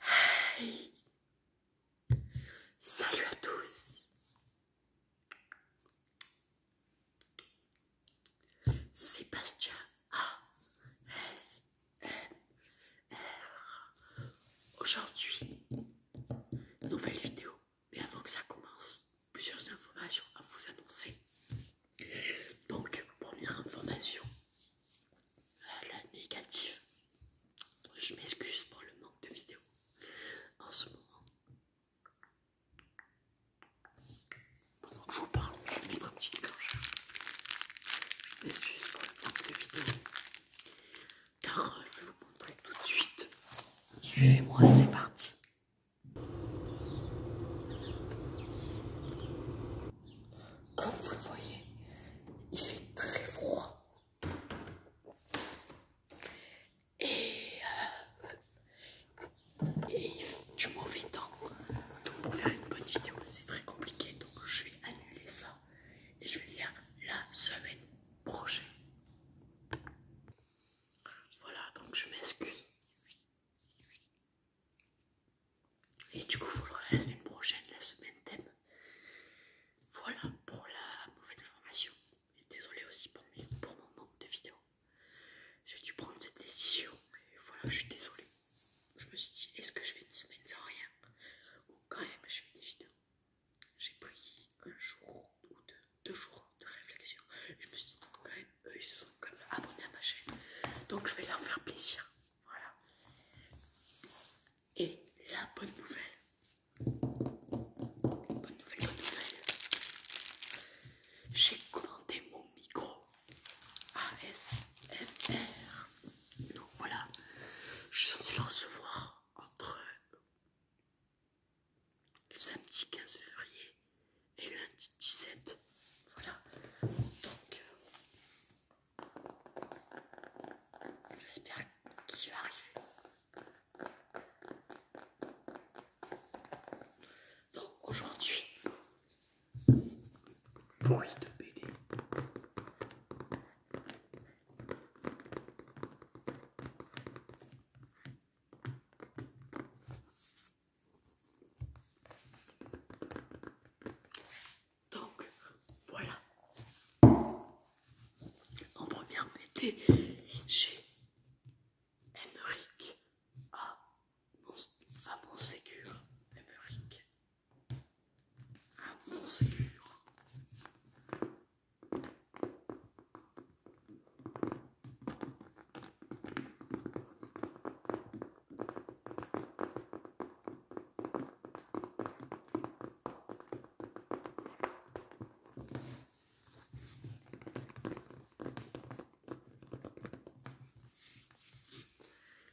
Hey Salut à tous Sébastien a Aujourd'hui, nouvelle vidéo, mais avant que ça commence, plusieurs informations à vous annoncer. Donc, première information, à la négative. Je m'excuse pour le manque de vidéo en ce moment. Pendant que je vous parle, je vais mettre petite petite gorge. Je m'excuse pour le manque de vidéo, Car euh, je vais vous montrer tout de suite. Suivez-moi, c'est parti comme vous le voyez, il fait très froid. Euh, et, il fait du mauvais temps. Donc pour faire une bonne vidéo, c'est très compliqué. Donc je vais annuler ça. Et je vais faire la semaine prochaine. Voilà, donc je m'excuse. Et du coup, il faudra la semaine prochaine, la semaine thème. Voilà pour la mauvaise information. Et désolé aussi pour, pour mon manque de vidéos, J'ai dû prendre cette décision. Et voilà, je suis désolé. Je me suis dit, est-ce que je fais une semaine sans rien Ou quand même, je fais des vidéos. J'ai pris un jour ou deux, jours de réflexion. Je me suis dit, quand même, eux, ils se sont quand même abonnés à ma chaîne. Donc, je vais leur faire plaisir. Voilà. Et la bonne nouvelle. Bonne nouvelle, bonne nouvelle. J'ai commandé mon micro ASMR. Donc voilà. Je suis censée le recevoir entre le samedi 15 février et lundi 17. Voilà. Donc, euh, j'espère qu'il va arriver. Donc, aujourd'hui, bruit de bébé. Donc voilà. En première méthode, j'ai Emmerich à mon, à mon à mon sécure.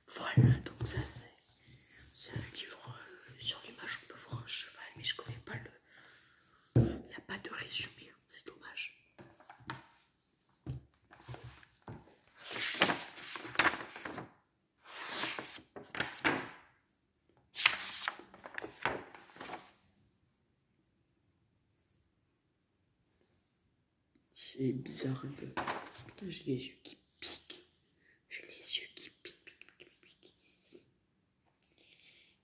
Voilà, donc ça c'est un livre euh, sur l'image, on peut voir un cheval, mais je connais pas le... Il n'y a pas de résumé, c'est dommage. C'est bizarre j'ai les yeux qui piquent. J'ai les yeux qui piquent.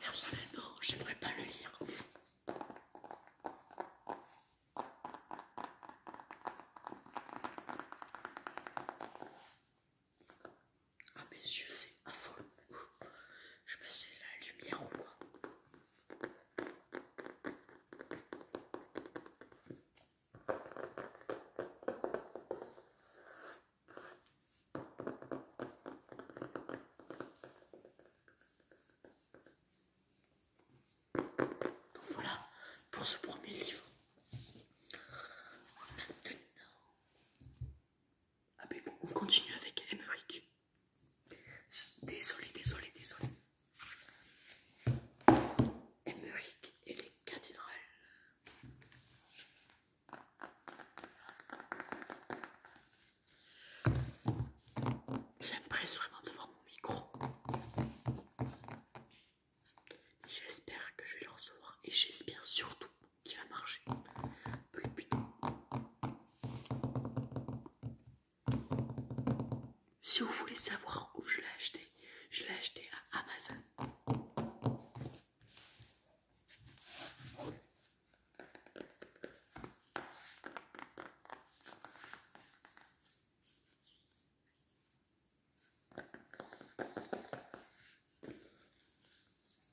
Personnellement, j'aimerais pas le lire. Ah, mes yeux, c'est affreux. Je passais la lumière au quoi. Donc voilà pour ce premier livre. Maintenant, ah ben on continue avec Emmerich. Désolé, désolé, désolé. Emmerich et les cathédrales. J'ai vraiment d'avoir mon micro. J'espère que je vais le recevoir et j'espère surtout qui va marcher si vous voulez savoir où je l'ai acheté je l'ai acheté à Amazon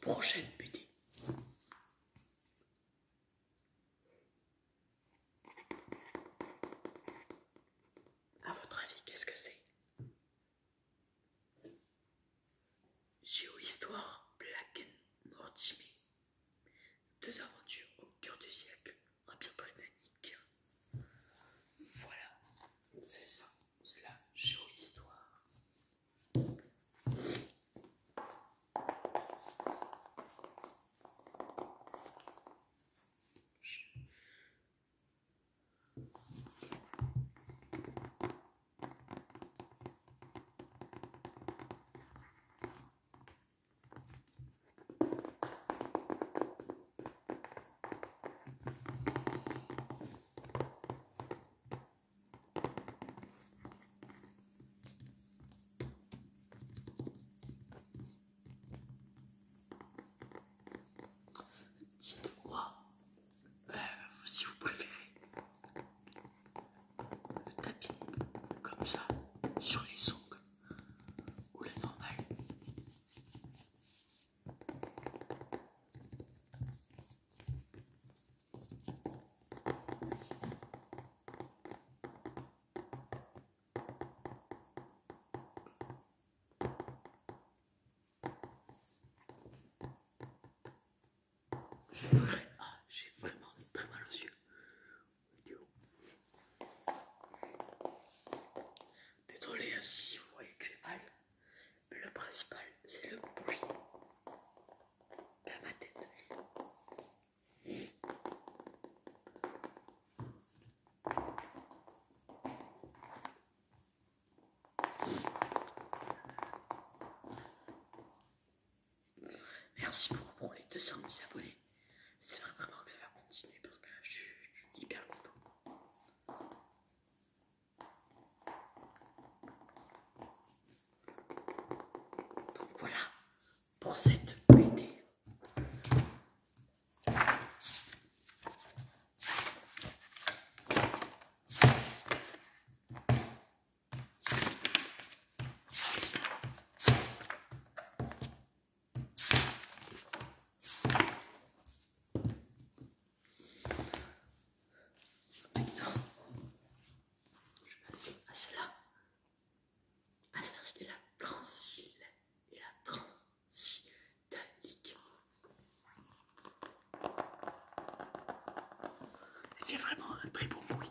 Prochaine butée. A votre avis, qu'est-ce que c'est histoire, Black Mortimer. Deux aventures au cœur du siècle, Empire britannique. Voilà, c'est ça c'est la géohistoire. Dites-moi euh, si vous préférez le tapis comme ça sur les ongles ou le normal. Ah, j'ai vraiment très mal aux yeux. Désolé si vous voyez que j'ai mal, mais le principal c'est le bruit Pas ma tête. Merci beaucoup pour les 210 abonnés. C'est vraiment que ça va continuer parce que je suis hyper content. Donc voilà pour cette BD je vais passer à celle-là. À celle de la Transil et la Transitalique. Et fait vraiment un très beau bruit.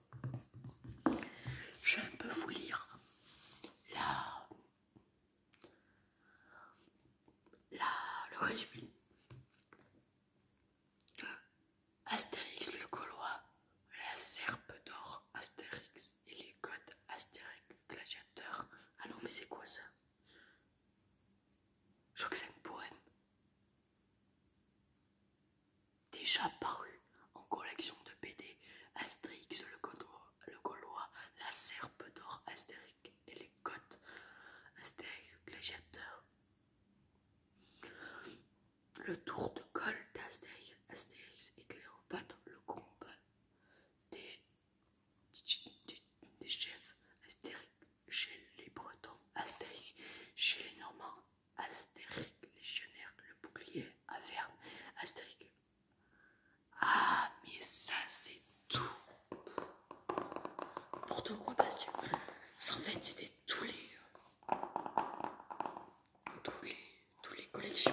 Je vais un peu vous lire la, la, le résumé Astérix le Gaulois, la Serpe d'Or Astérix et les codes Astérix gladiateur. Ah non, mais c'est quoi ça un poème déjà paru en collection de BD Astérix, le, Gaulois, la Serpe d'Or, Astérix et les Côtes, Astérix Gladiateur, le Tour de col d'Astérix, Astérix et Cléopâtre, le combat des, des chefs, Astérix chez les Bretons, Astérix chez les Normands, Astérique, légionnaire, le bouclier, Averne, Astérique. Ah, mais ça, c'est tout. Pour ton Ça, en fait, c'était euh, Tous les. Tous les collections